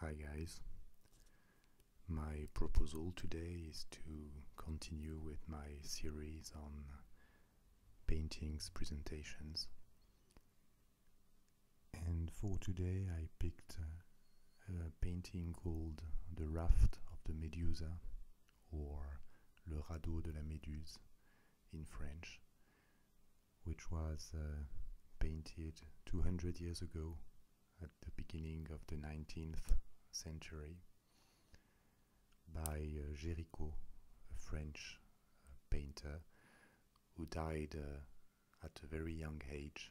Hi guys. My proposal today is to continue with my series on paintings presentations. And for today I picked a, painting called The Raft of the Medusa or Le Radeau de la Méduse in French which was uh, painted 200 years ago at the beginning of the 19th century by uh, Géricault, a French uh, painter who died uh, at a very young age,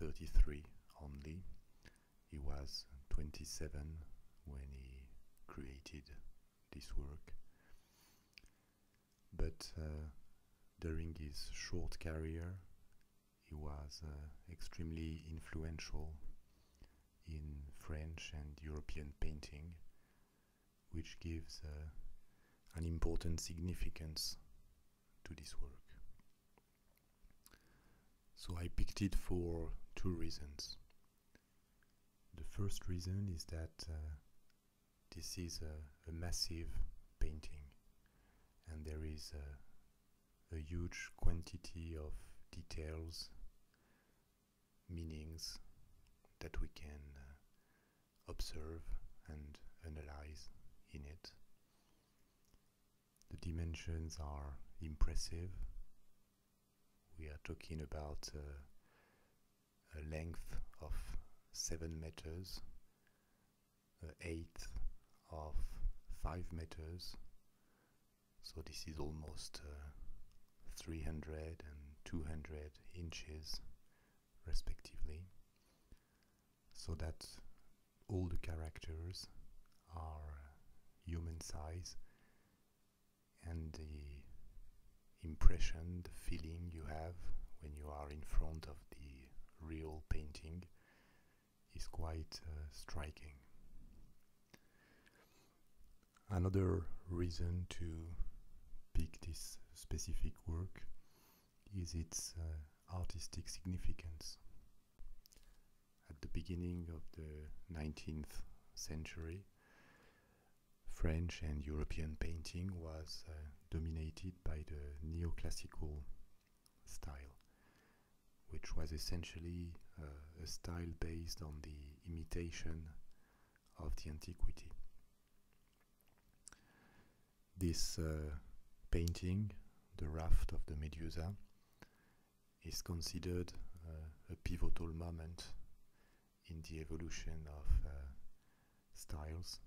33 only. He was 27 when he created this work. But uh, during his short career, he was uh, extremely influential in French and European painting, which gives uh, an important significance to this work. So I picked it for two reasons. The first reason is that this is a, massive painting and there is a, huge quantity of details, meanings that we can uh, observe and analyze in it. The dimensions are impressive. We are talking about uh, a length of 7 meters, a height of 5 meters. So this is almost uh, 300 and 200 inches respectively. So that all the characters are uh, human size and the impression, the feeling you have when you are in front of the real painting is quite uh, striking. Another reason to pick this specific work is its uh, artistic significance. At the beginning of the 19th century, French and European painting was uh, dominated by the neoclassical style, which was essentially uh, a style based on the imitation of the antiquity. This uh, painting, The Raft of the Medusa, is considered uh, a pivotal moment in the evolution of styles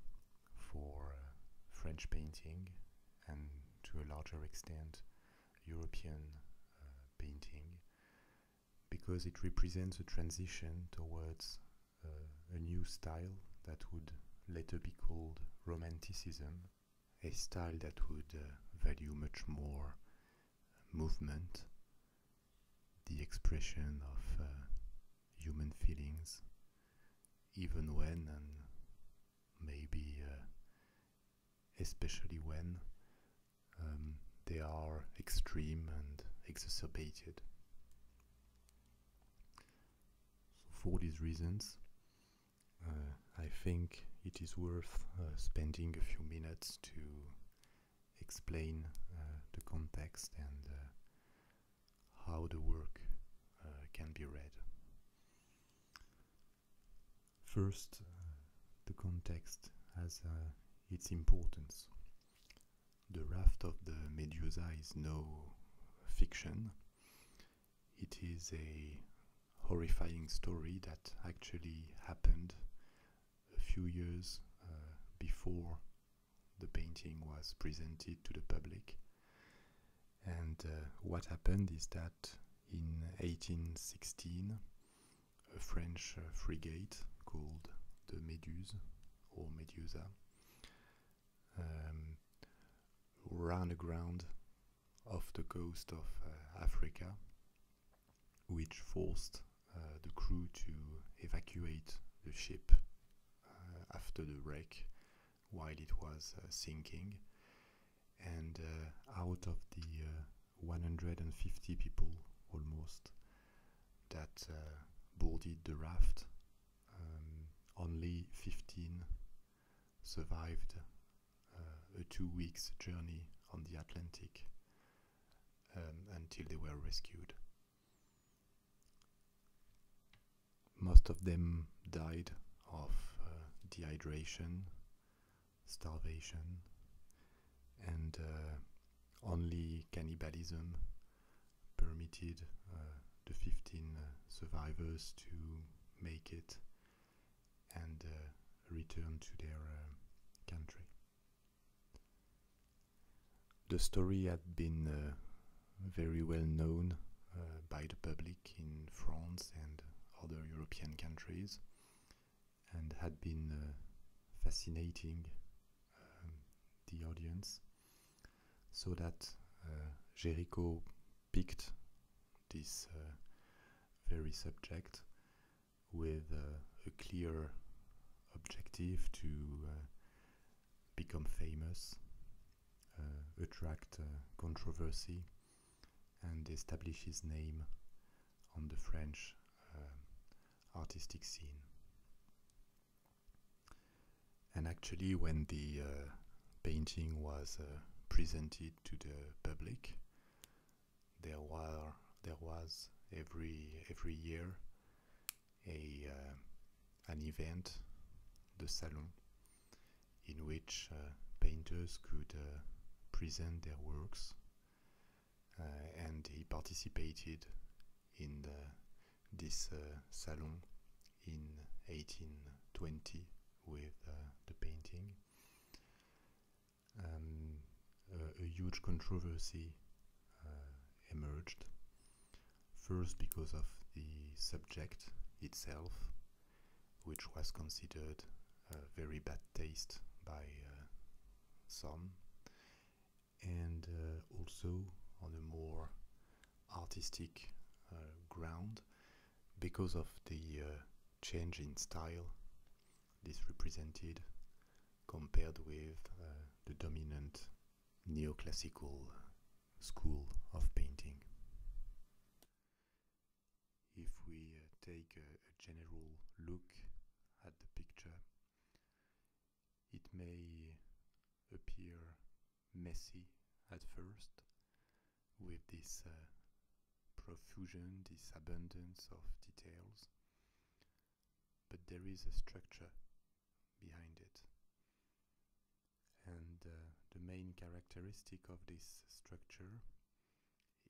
for uh, French painting and to a larger extent European uh, painting because it represents a transition towards uh, a new style that would later be called Romanticism, a style that would value much more movement, the expression of human feelings, even when and maybe uh, especially when um, they are extreme and exacerbated. for these reasons, uh, I think it is worth uh, spending a few minutes to explain the context and how the work uh, can be read. First, uh, the context has uh, its importance. The Raft of the Medusa is no fiction. It is a horrifying story that actually happened a few years before the painting was presented to the public. And uh, what happened is that in 1816, a French uh, frigate called the Méduse or Medusa um, ran aground off the coast of uh, Africa, which forced the crew to evacuate the ship uh, after the wreck while it was uh, sinking. And uh, out of the 150 people almost that boarded the raft, um, only 15 survived a two weeks journey on the Atlantic um, until they were rescued. Most of them died of uh, dehydration, starvation, and uh, only cannibalism permitted uh, the 15 survivors to make it and return to their country. The story had been uh, very well known uh, by the public in France and other European countries and had been uh, fascinating um, the audience so that Jericho picked this very subject with a clear objective to become famous, uh, attract uh, controversy, and establish his name on the French uh, artistic scene. And actually, when the painting was presented to the public, there were there was every every year a uh, an event, the salon, in which uh, painters could uh, present their works, and he participated in this salon in 1820 with the painting. Um, a huge controversy uh, emerged. First, because of the subject itself, which was considered a very bad taste by uh, some, and uh, also on a more artistic ground because of the change in style this represented compared with the dominant neoclassical school of painting. If we uh, take a, general look at the picture, it may appear messy at first with this uh, profusion, this abundance of details, but there is a structure behind it. And uh, the main characteristic of this structure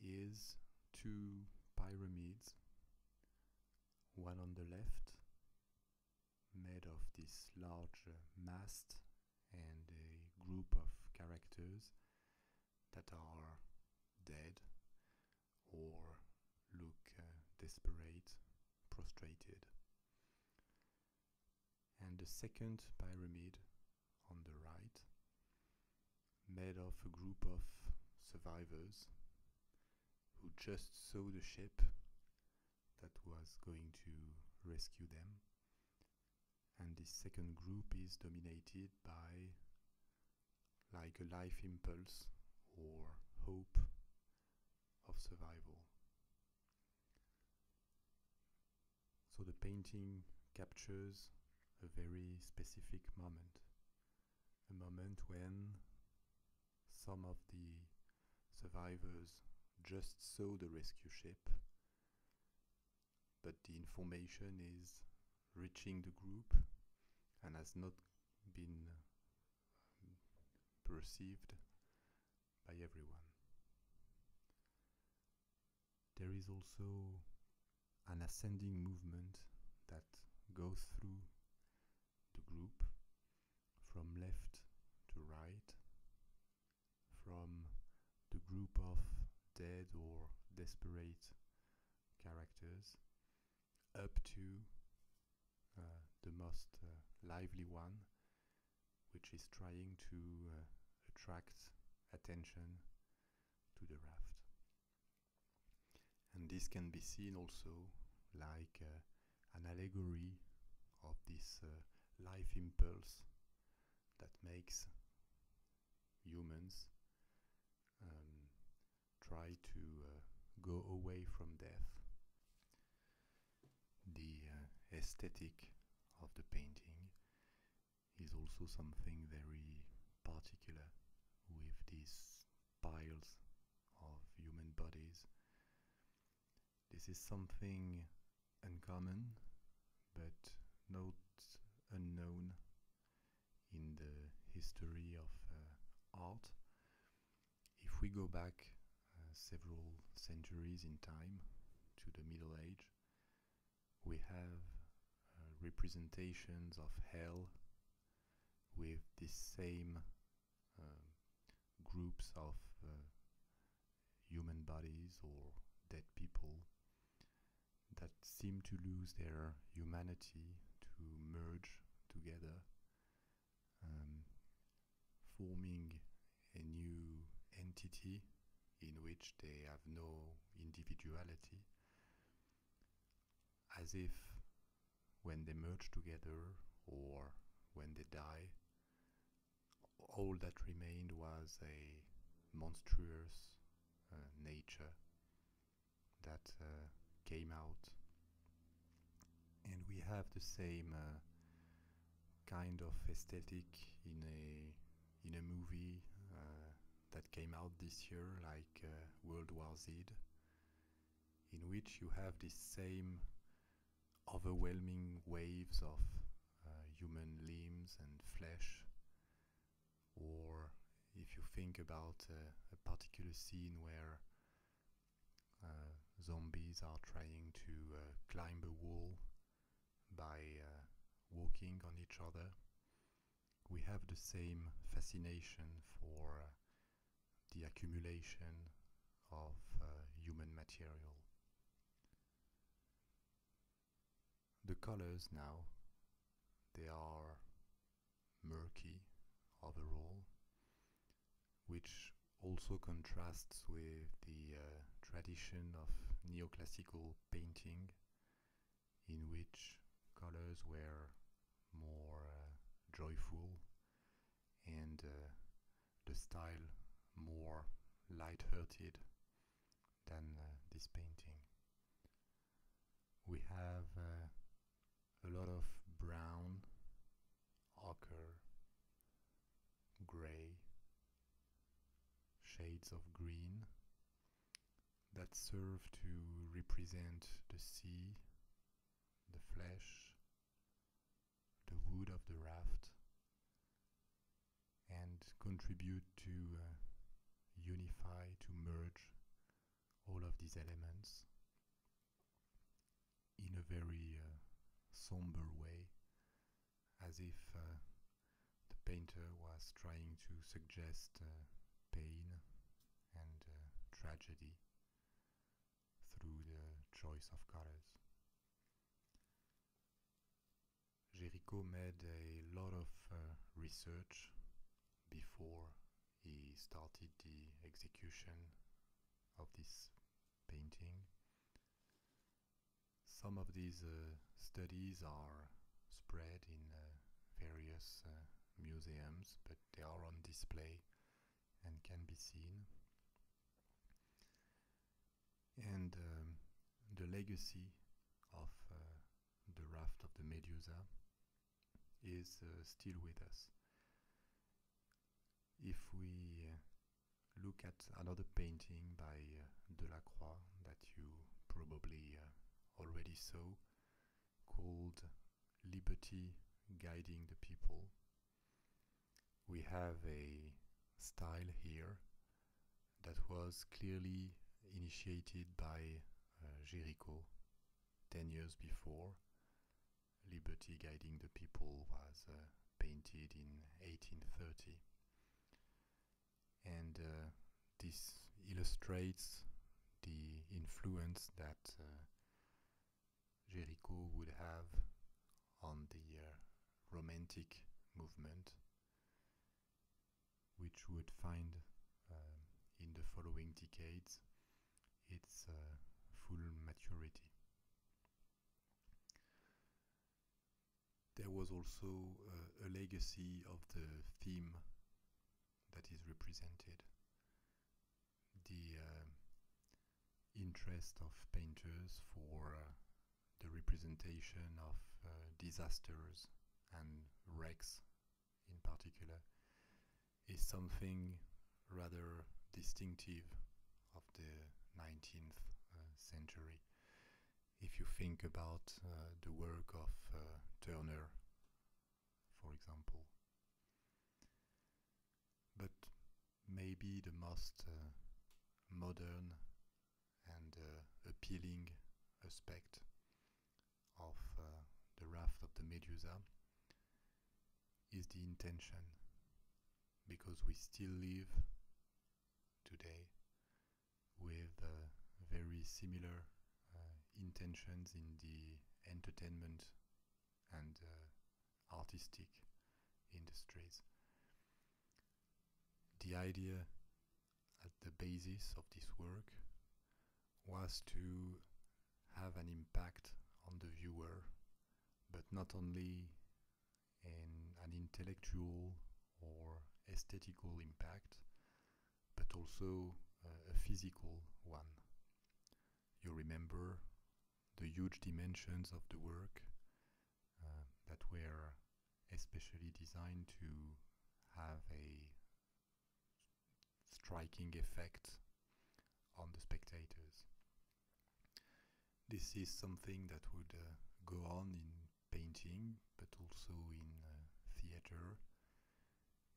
is two pyramids, one on the left, made of this large uh, mast and a group of characters that are dead, or look uh, desperate, prostrated. And the second pyramid on the right, made of a group of survivors who just saw the ship that was going to rescue them. And this second group is dominated by like a life impulse or hope of survival. So the painting captures a very specific moment, a moment when some of the survivors just saw the rescue ship, but the information is reaching the group and has not been perceived by everyone. There is also an ascending movement that goes through the group from left to right, from the group of dead or desperate characters up to uh, the most uh, lively one, which is trying to uh, attract attention to the raft. And this can be seen also like an allegory of this life impulse that makes humans um, try to uh, go away from death. The uh, aesthetic of the painting is also something very particular with these piles of human bodies. This is something uncommon but not unknown in the history of uh, art if we go back uh, several centuries in time to the Middle Age, we have uh, representations of hell with the same um, groups of uh, human bodies or dead people that seem to lose their humanity, to merge together um, forming a new entity in which they have no individuality, as if when they merge together or when they die, all that remained was a monstrous uh, nature that uh, came out and we have the same uh, kind of aesthetic in a in a movie uh, that came out this year like World War Z in which you have these same overwhelming waves of human limbs and flesh or if you think about a particular scene where uh, zombies are trying to uh, climb a wall by uh, walking on each other. We have the same fascination for the accumulation of human material. The colors now, they are murky overall, which also contrasts with the uh, tradition of neoclassical painting, in which colors were more uh, joyful and uh, the style more light-hearted than this painting. We have a lot of brown, ochre, grey, shades of green that serve to represent the sea, the flesh, the wood of the raft, and contribute to uh, unify, to merge all of these elements in a very uh, somber way, as if uh, the painter was trying to suggest uh, pain and tragedy through the choice of colors. Jericho made a lot of research before he started the execution of this painting. Some of these uh, studies are spread in uh, various uh, museums, but they are on display and can be seen. And um, the legacy of the raft of the Medusa is uh, still with us. If we uh, look at another painting by uh, Delacroix that you probably already saw, called Liberty Guiding the People, we have a style here that was clearly initiated by uh, Ten years before, Liberty Guiding the People was uh, painted in 1830. And uh, this illustrates the influence that uh, would have on the uh, Romantic movement, which would find um, in the following decades its uh, full maturity. There was also uh, a legacy of the theme that is represented. The uh, interest of painters for the representation of disasters and wrecks in particular, is something rather distinctive of the 19th uh, century. If you think about uh, the work of uh, Turner, for example. But maybe the most modern and appealing aspect of uh, the raft of the Medusa is the intention, because we still live today with uh, very similar uh, intentions in the entertainment and artistic industries. The idea at the basis of this work was to have an impact on the viewer, but not only in an intellectual or aesthetical impact, but also uh, a physical one. You remember the huge dimensions of the work uh, that were especially designed to have a striking effect on the spectators. This is something that would uh, go on in painting, but also in uh, theater,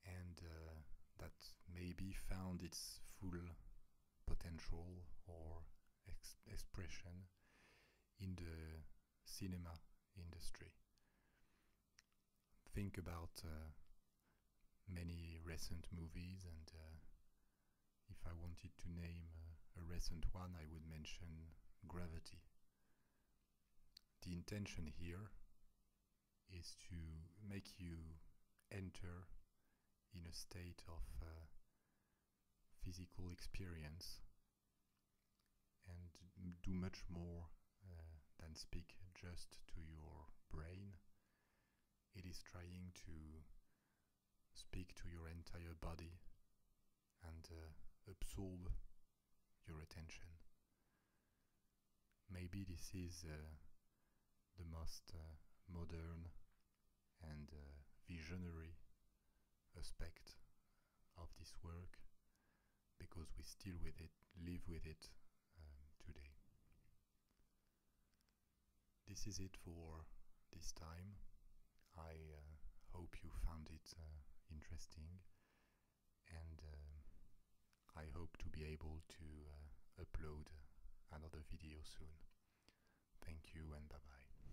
and uh, that may be found its full potential or expression in the cinema industry think about uh, many recent movies, and uh, if I wanted to name uh, a, recent one, I would mention Gravity. The intention here is to make you enter in a state of physical experience and do much more than uh, speak just to your brain. It is trying to speak to your entire body and uh, absorb your attention. Maybe this is uh, the most modern and visionary aspect of this work because we still with it live with it um, today. This is it for this time. I uh, hope you found it uh, interesting and uh, I hope to be able to upload another video soon. Thank you and bye bye.